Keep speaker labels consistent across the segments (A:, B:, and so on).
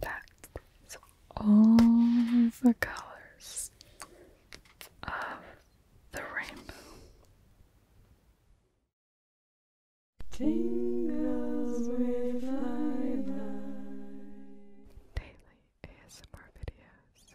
A: That's all the colors of the rainbow. Daily ASMR videos.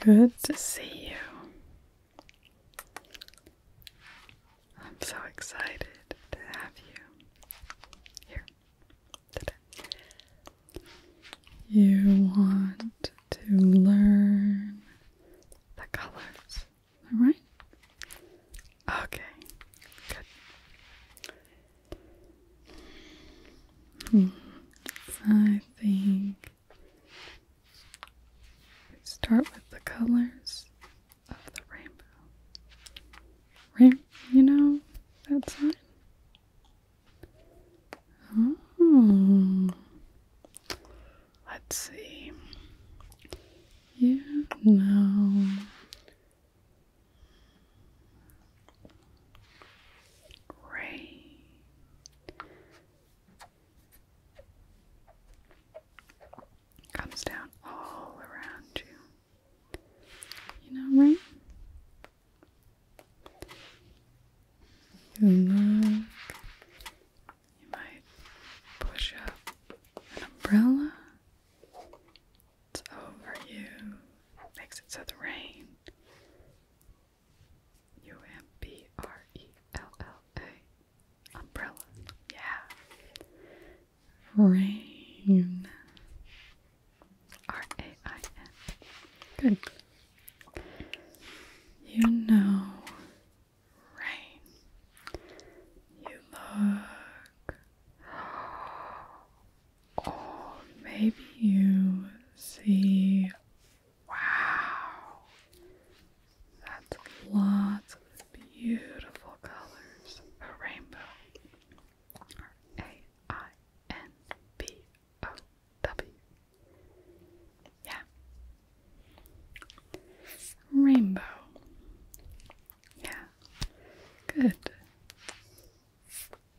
A: Good to see you. I'm so excited to have you here You want to learn the colors, alright? Okay, good. Hmm. I think start with the colors of the rainbow. Rain you know that's sign? Oh. Let's see. You know. Rain. Comes down all around you. You know, right? You look. You might push up an umbrella. It's over you. Makes it so the rain U M B R E L L A. Umbrella. Yeah. Rain. R A I N. Good. You know rain. You look. Or maybe you see Wow. That's lots of beautiful colors. A rainbow. A I N B O W. Yeah. Rainbow. Yeah. Good.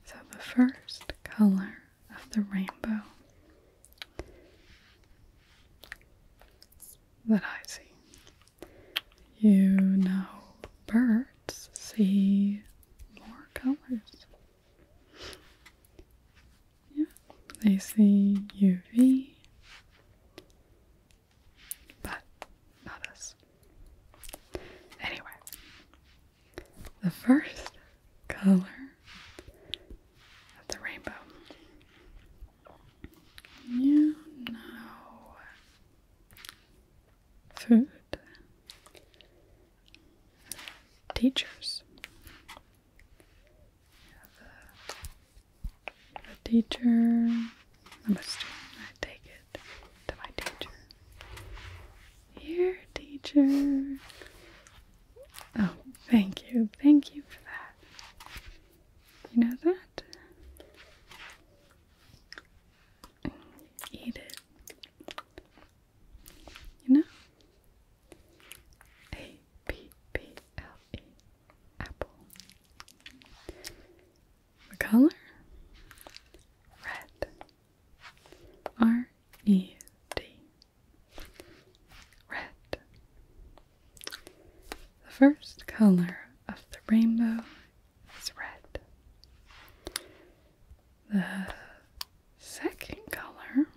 A: So the first color of the rainbow that I see. You know, birds see more colors. Yeah, they see UV, but not us. Anyway, the first color the rainbow. You know food. Teachers. The, teacher, I'm a I take it to my teacher. Here, teacher, Oh, thank you. Thank you for that. You know that? Eat it. You know? A P P L E. Apple. The color? Red. R E D. Red. The first color of the rainbow is red. The second color,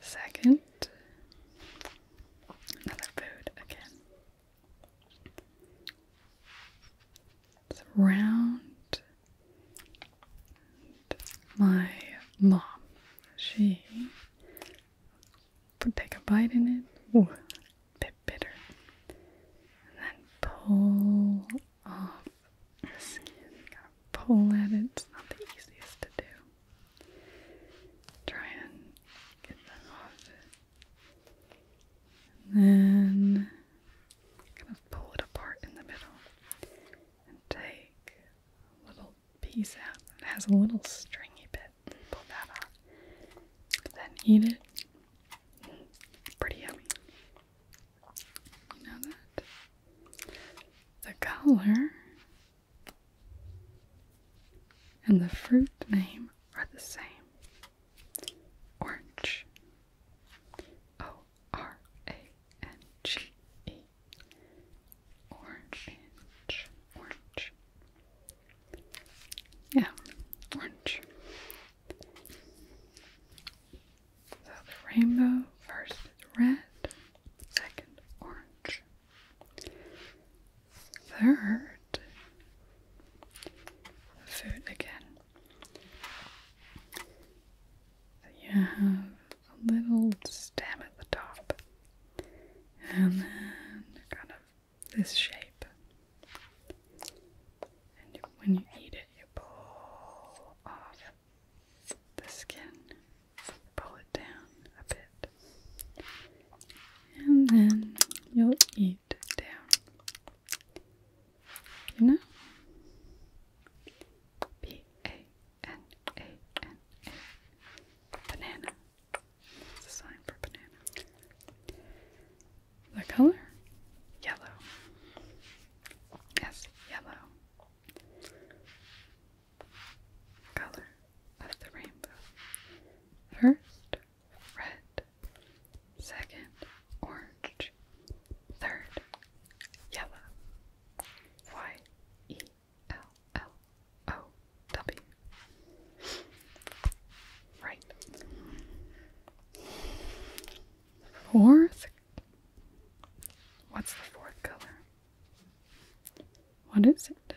A: second, another food again. It's round my mom, she would take a bite in it, ooh, a bit bitter, and then pull off the skin. pull at it, it's not the easiest to do. Try and get that off it. then kind of pull it apart in the middle and take a little piece out that has a little stringy bit. Pull that out. Then eat it. Pretty yummy. You know that? The color and the fruit name are the same. Orange. Oh, R A N G E, Orange, orange Yeah, orange So the rainbow, first is red, second orange Third, food again you have a little stem at the top and then kind of this shape. And when you eat it, you pull off the skin, pull it down a bit, and then you'll eat it down. You know? P A N A N A. Banana. It's sign for banana. The color? Yellow. Yes, yellow. Color of the rainbow. First, red. Second, orange. Third, yellow. Y E L L O W. Right. Fourth? What's the fourth color? What is it?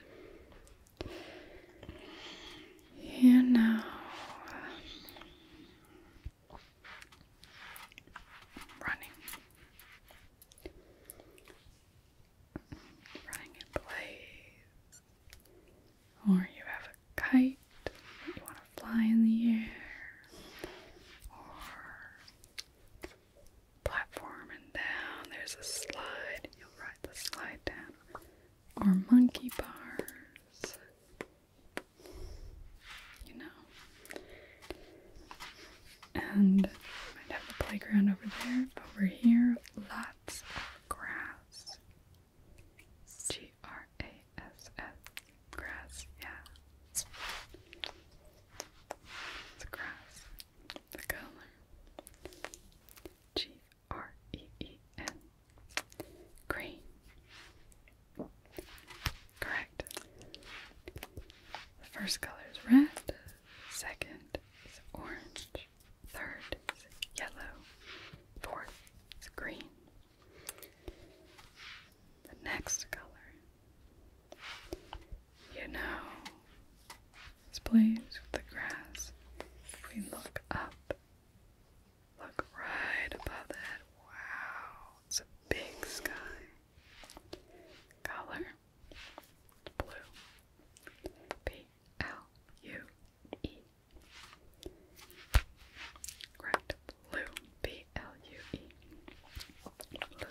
A: You know, running running in place, or you have a kite you want to fly in the air, or platform and down. There's a slide, you'll ride the slide down, or monkey bars. You know, and might have the playground over there. Over here, lots of grass. G R A S S. Grass, yeah. The grass. The color. G R E E N. Green. Correct. The first color is red, second is orange, third is yellow, fourth is green. The next color, you know, this plays with the grass. If we look up, look right above that. Wow, it's a big sky. Color Blue. B L U E. Correct. Blue. B L U E. Blue.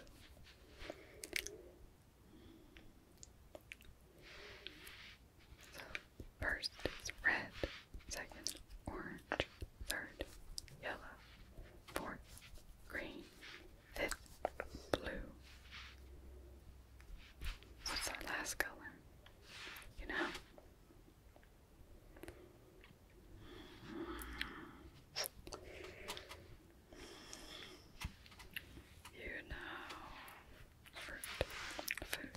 A: So first is red, second orange, third yellow, fourth green, Fifth blue. What's that last color? You know? You know, fruit, food.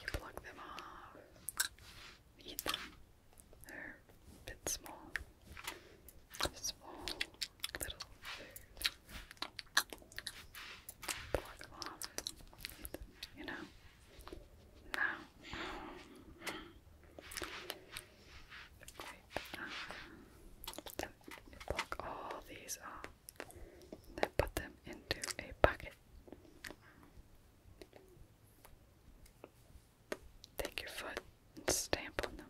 A: You pluck them off eat them. They're a bit small. Small little food. Pluck them off. Eat them, you know? Now, so you pluck all these off, then put them into a bucket. Take your foot and stamp on them.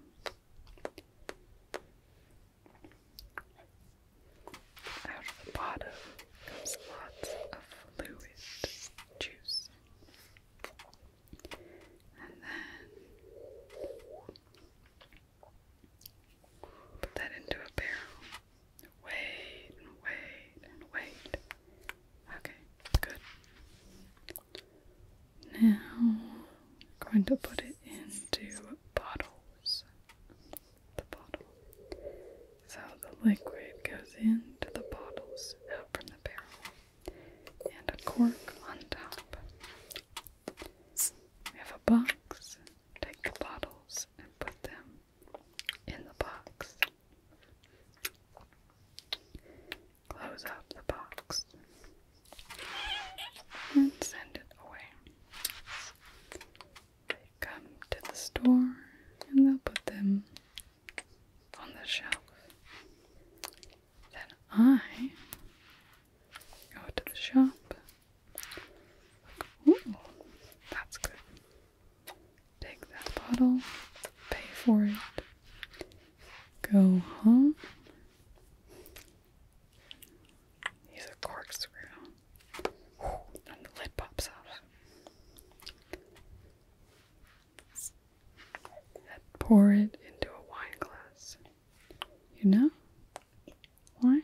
A: Out of the bottom comes lots of fluid juice. And then put that into a barrel. Wait and wait and wait. Okay, good. Now I'm going to put it into bottles. The bottle. So the liquid goes into the bottles out from the barrel. And a cork on top. We have a box. Take the bottles and put them in the box close up the box and send it away. They come to the store and they'll put them on the shelf. Then I go to the shop. Ooh, that's good. Take that bottle, pay for it, go home. Use a corkscrew. And the lid pops out. And pour it into a wine glass. You know? Wine?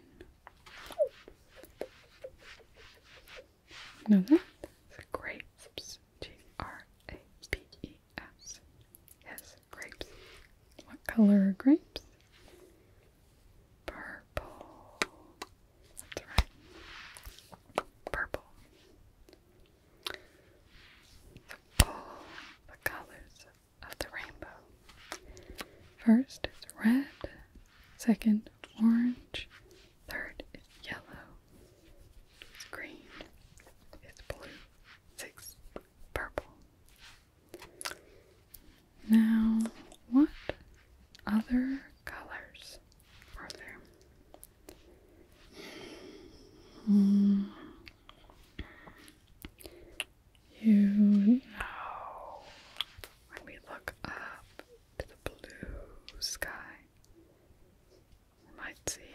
A: know that? It's a grape. G R A P E. S. Yes, grapes. What color are grapes? Purple. That's right. Purple. So all the colors of the rainbow. First is red, second orange, third is yellow, it's green. It's blue. It's purple. Now, what other colors are there? Hmm. You know, when we look up to the blue sky, we might see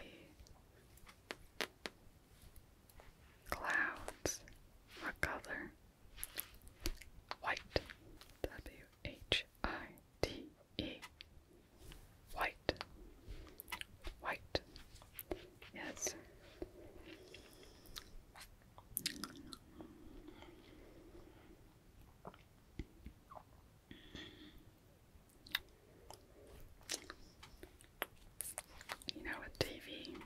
A: Clouds. What color? White. W H I T E. White. White. Yes. You know, with TV.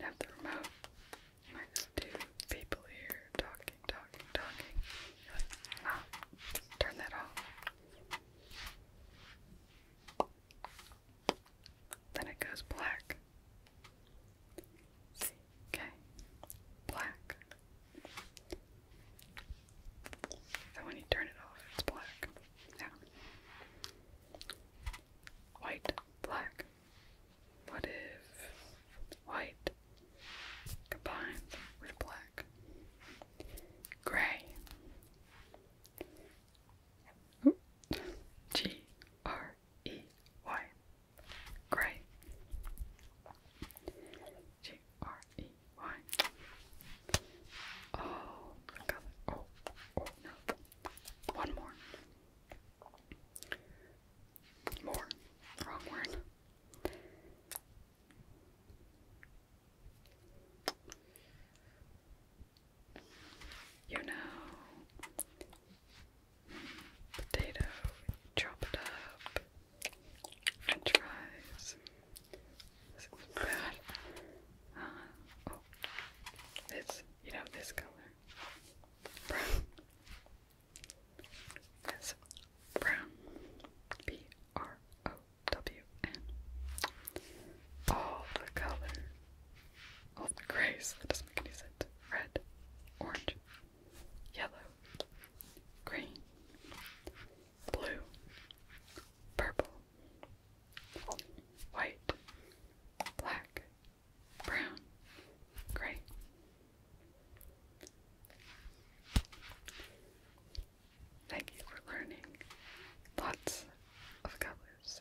A: have the remote, and people here talking, talking, talking. ah, turn that off. Then it goes black. CK black. So when you turn it off, it's black. Yeah. White, black. What if white combined with black? Gray. G R E Y. Grey. G R E Y. Oh, I got it. Oh, oh no. One more. More. Wrong word. You know, potato, chop it up, french fries. This is bad. Uh, oh, this, you know, this color. Brown. That's brown. B R O W N. All the color. All the grays. That doesn't make any Red, orange, yellow, green, blue, purple, white, black, brown, gray. Thank you for learning lots of colors.